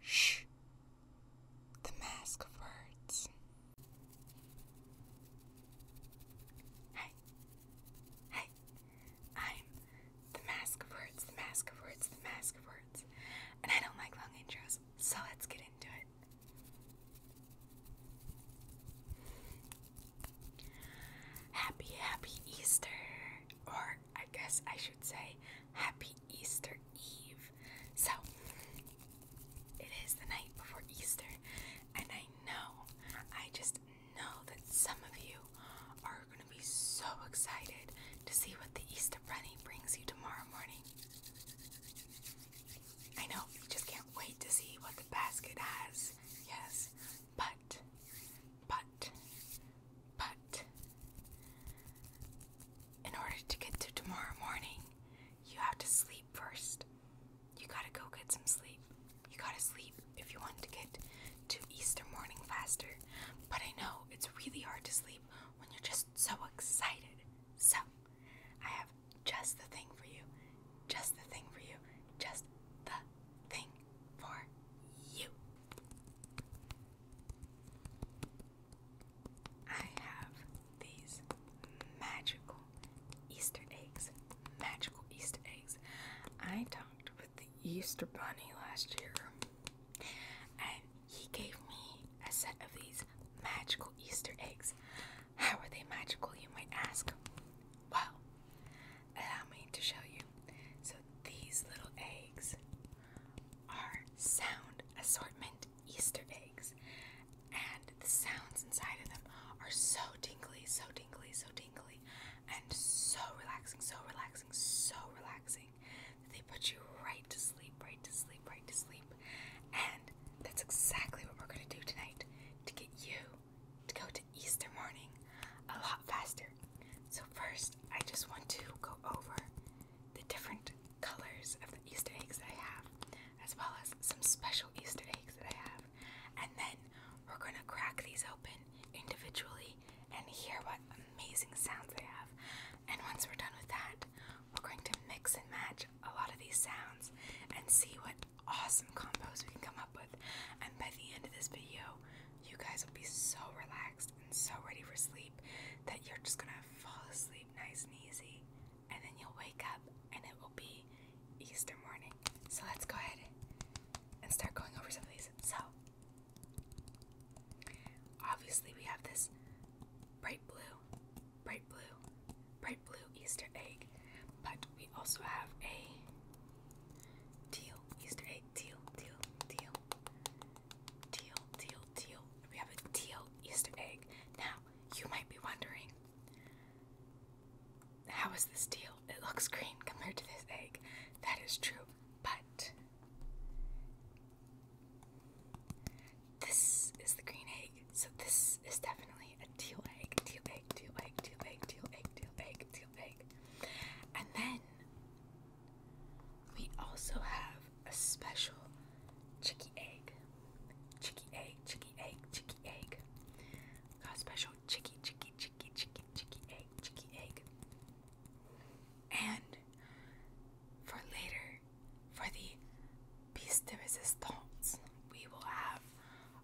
Shh. The Mask of Words. Hey. Hey. I'm the Mask of Words, the Mask of Words, the Mask of Words. And I don't like long intros, so let's get into it. Happy, happy Easter! Or I guess I should say, Happy Easter Eve. So, it is the night before Easter, and I know, I just know that some of you are going to be so excited to see what the Easter Bunny brings you tomorrow morning. I know, you just can't wait to see what the basket has, yes, but, but, but in order to get to tomorrow morning, you have to sleep first. You gotta go get some sleep. You gotta sleep if you want to get to Easter morning faster. But I know it's really hard to sleep when you're just so excited. So, I have just the thing for you. Just the thing for you. Just the thing for you. I have these magical Easter eggs. Magical Easter eggs. I talked with the Easter Bunny last year, and he gave me a set of these magical Easter eggs. How are they magical, you might ask? Well, allow me to show you. So, these little eggs are sound assortment Easter eggs, and the sounds inside of them are so tingly, so tingly, so tingly, and so relaxing, so relaxing, so relaxing that they put you right to sleep, right to sleep, right to sleep. And that's exactly what we're going to do tonight to get you to go to Easter morning a lot faster. So, first, I just want to go over the different colors of the Easter eggs that I have, as well as some special Easter eggs that I have. And then we're going to crack these open individually and hear what amazing sounds they have. And once we're done with that, we're going to mix and match a lot of these sounds and see what awesome combos we can come up with. And by the end of this video, you guys will be so relaxed and so ready for sleep that you're just gonna fall asleep nice and easy, and then you'll wake up and it will be Easter morning. So let's go ahead and start going over some of these. So, obviously, we have this bright blue, bright blue, bright blue Easter egg, but we also have a teal Easter egg, teal, teal, teal, Teal, teal, teal. We have a teal Easter egg. Now, you might be wondering, how is this teal? It looks green compared to this egg. That is true, but this is the green egg, so this is definitely a teal egg. Teal egg, teal egg, teal egg, teal egg, teal egg, teal egg. And then we also have a special chicky egg. Chicky egg, chicky egg, chicky egg. Got a special chicky, chicky, chicky, chicky, chicky egg, chicky egg. And for later, for the piece de resistance, we will have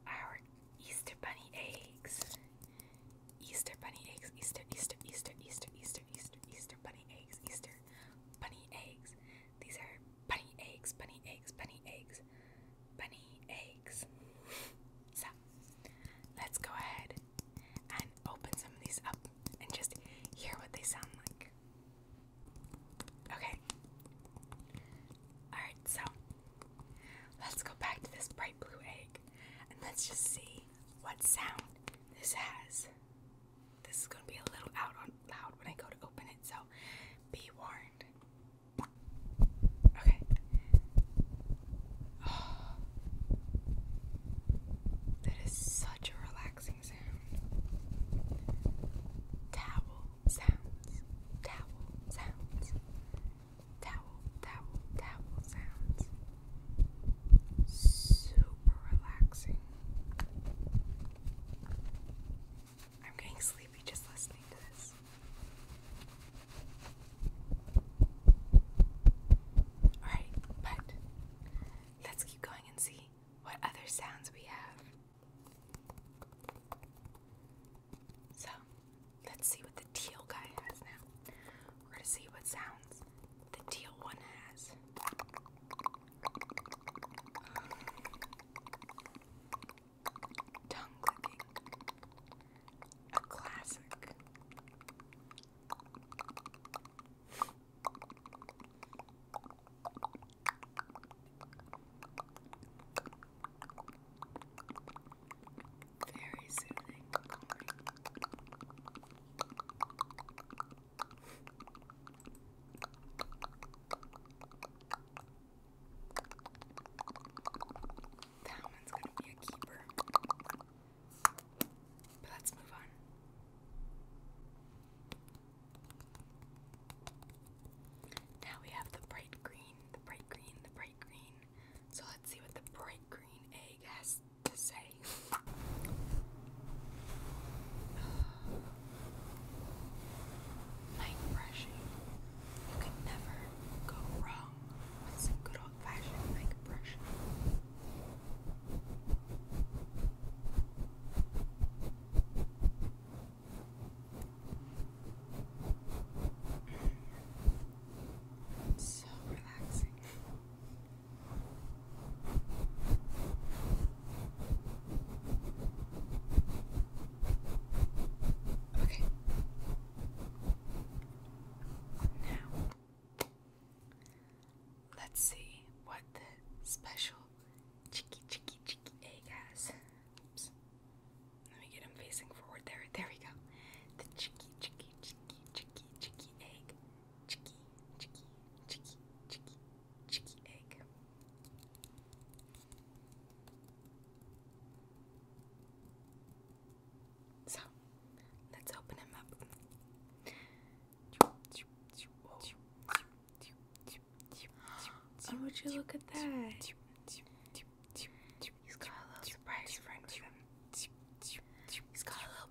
our Easter bunny eggs. Easter bunny eggs, Easter, Easter, Easter, Easter, Easter, Easter, Easter bunny eggs, Easter bunny eggs. These are bunny eggs, bunny eggs, bunny eggs, bunny eggs. so let's go ahead and open some of these up and just hear what they sound like. Okay. Alright, so let's go back to this bright blue egg and let's just see what sound this has. This is gonna be a little out on loud when I go to open it, so be warned. Okay. that is such a relaxing sound. Towel sounds. Towel sounds. Towel, towel, towel sounds super relaxing. I'm getting sleepy just listening to this. Alright, but let's keep going and see what other sounds we have. So, let's see what the teal guy has now. We're gonna see what sounds the teal one has. Tongue clicking. A classic. Very soothing. That one's gonna be a keeper. But let's move on. Now we have the bright green, the bright green, the bright green. So let's see what the bright green egg has to say. Night brushing. You can never go wrong with some good old fashioned night brushing. so relaxing. Okay. Now, let's see what the special cheeky, cheeky, cheeky egg has. Let me get him facing forward there. There we go. The cheeky, cheeky, cheeky, cheeky, cheeky egg chicky, chicky, chicky, chicky, chicky egg. So let's open him up. Oh, would you look at that? He's got a little surprise He's got a little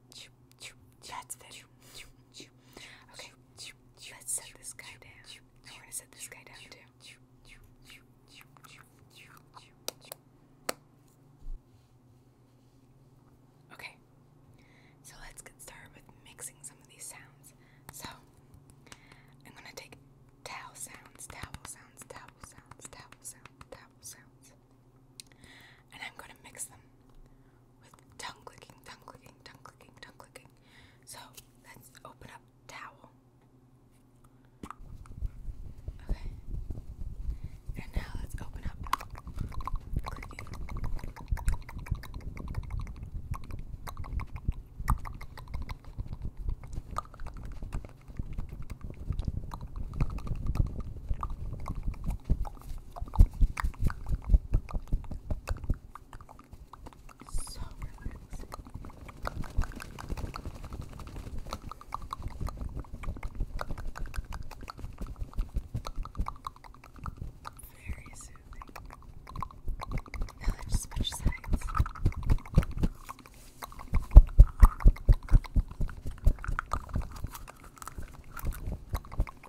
That's it. Okay, let's set this guy down. I'm gonna set this guy down too. Okay, so let's get started with mixing some of these sounds. So, I'm gonna take towel sounds, towel sounds, towel sounds, towel sounds, towel sounds, and I'm gonna mix them with tongue clicking, tongue clicking, tongue clicking, tongue clicking. So let's open up towel. Okay. And now let's open up so relaxing. Very soothing. Now let's switch sides.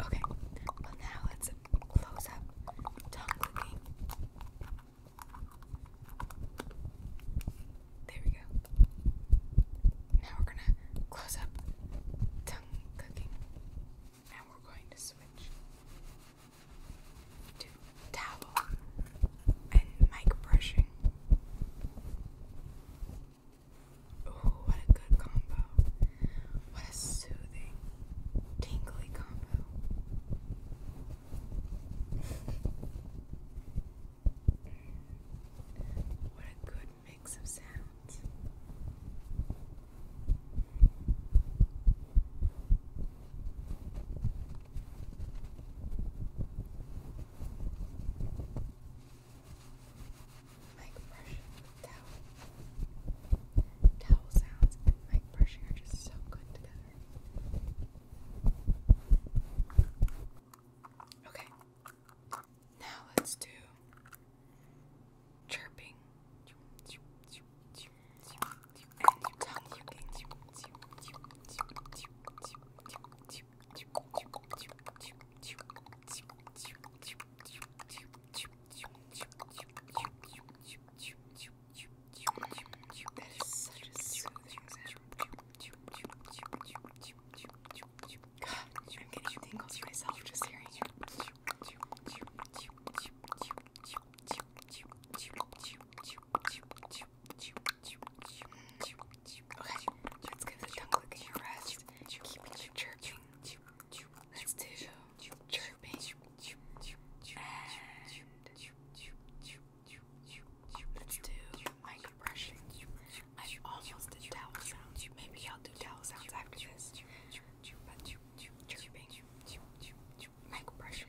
Okay, well now let's close up tongue clicking. There we go. Now we're gonna close up tongue clicking. Now we're going to switch to towel and mic brushing. Ooh, what a good combo. What a soothing, tingly combo. what a good mix of sounds mic towel. Towel sounds and are just so good together. Okay. Now let's do chirping that is such a soothing sound. God, I'm getting tingles myself just hearing it. Okay, let's give the tongue clicking a rest. Keep it Let's do chirping. And let's do mic brushing. I almost did Maybe I'll do towel sounds after this. But chirping, mic brushing.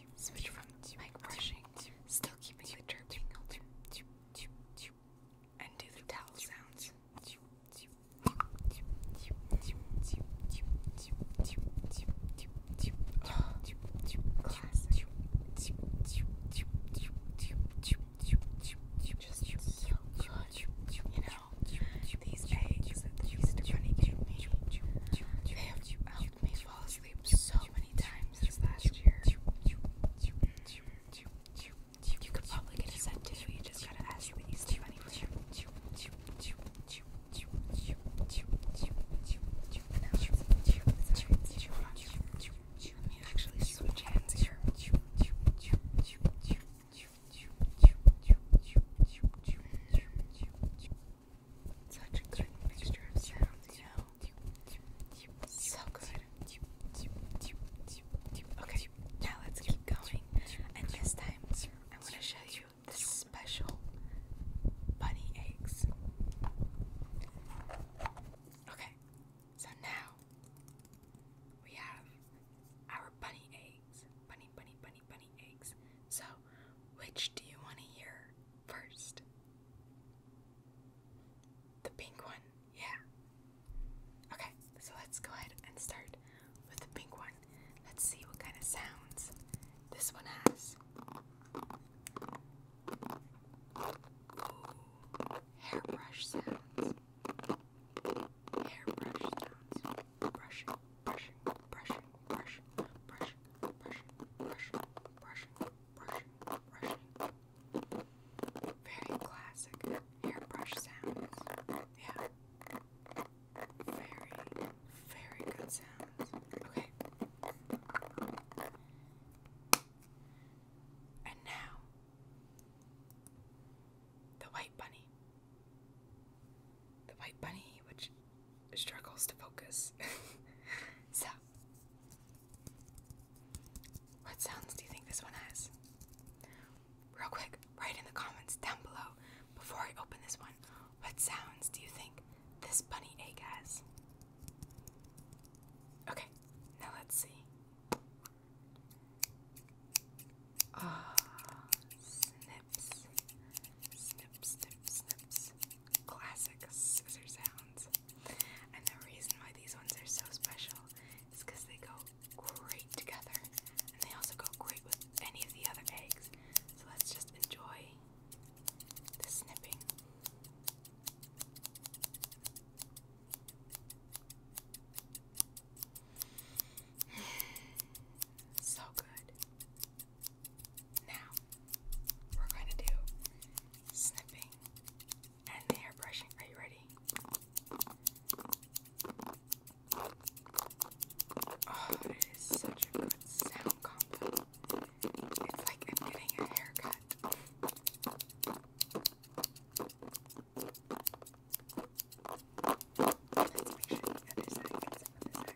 switch from mic brushing, still keeping the chirping, and do the towel sounds. Just so You know, these eggs that used to running to me, they have helped me fall asleep sleep so many times last year. You could probably get a set too, just gotta ask these two anyway. Let me actually switch hands here. Okay, now let's keep going. And this time, I'm to show you the special bunny eggs. Okay, so now we have our bunny eggs. Bunny, bunny, bunny, bunny eggs. So which do you want to hear first? The pink one, yeah. Okay, so let's go ahead and start with the pink one. Let's see what kind of sounds this one has. Ooh, hairbrush sounds. Hairbrush sounds. Brushing, brushing, brushing, brushing, brushing, brushing, brushing, brushing, brushing, brushing. Very classic hairbrush sounds. Yeah. Very, very good sounds. Okay. And now, the white bunny. The white bunny, which struggles to focus. so, what sounds do you think this one has? Real quick, write in the comments down below before I open this one. What sounds do you think this bunny egg has? Okay, now let's see. Ah, snips, snips, snips, snips classic scissor sounds. And the reason why these ones are so special is because they go great together. And they also go great with any of the other eggs. So let's just enjoy the snipping. so good. Now, we're going to do snipping and hair brushing. Are you ready? Oh, it is such a good sound combo. It's like I'm getting a haircut. Let's make sure you understand some of this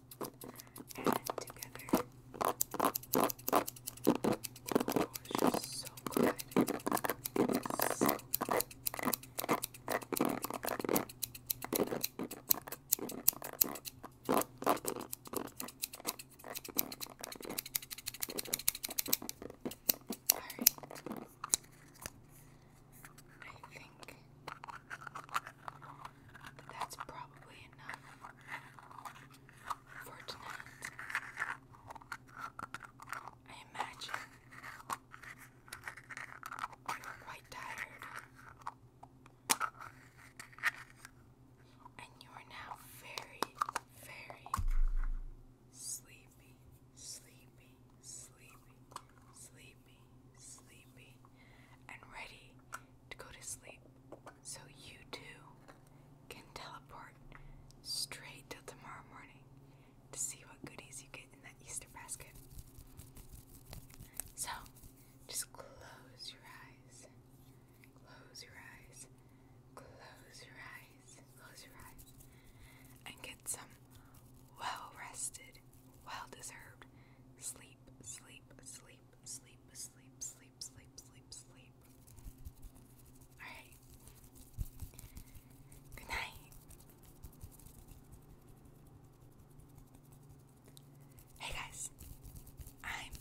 and together. Oh, it's so good. It's I think that's probably enough for tonight. I imagine you're quite tired, and you are now very, very sleepy, sleepy, sleepy, sleepy sleepy, sleepy, and ready to go to sleep so you too can teleport straight till tomorrow morning to see what goodies you get in that Easter basket. So, just close your eyes. Close your eyes. Close your eyes. Close your eyes. And get some well rested, well deserved sleep, sleep, sleep, sleep, sleep, sleep, sleep, sleep, sleep. Alright. Good night. Hey guys, I'm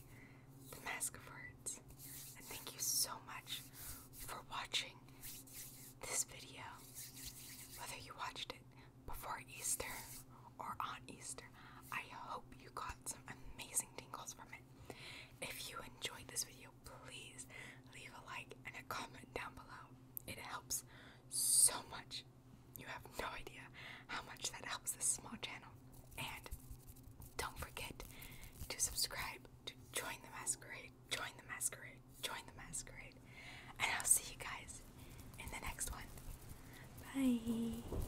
the Mask of Words, and thank you so much for watching this video. Whether you watched it before Easter or on Easter. I hope you got some amazing tingles from it. If you enjoyed this video, please leave a like and a comment down below. It helps so much. You have no idea how much that helps this small channel. And don't forget to subscribe to join the masquerade, join the masquerade, join the masquerade. And I'll see you guys in the next one. Bye.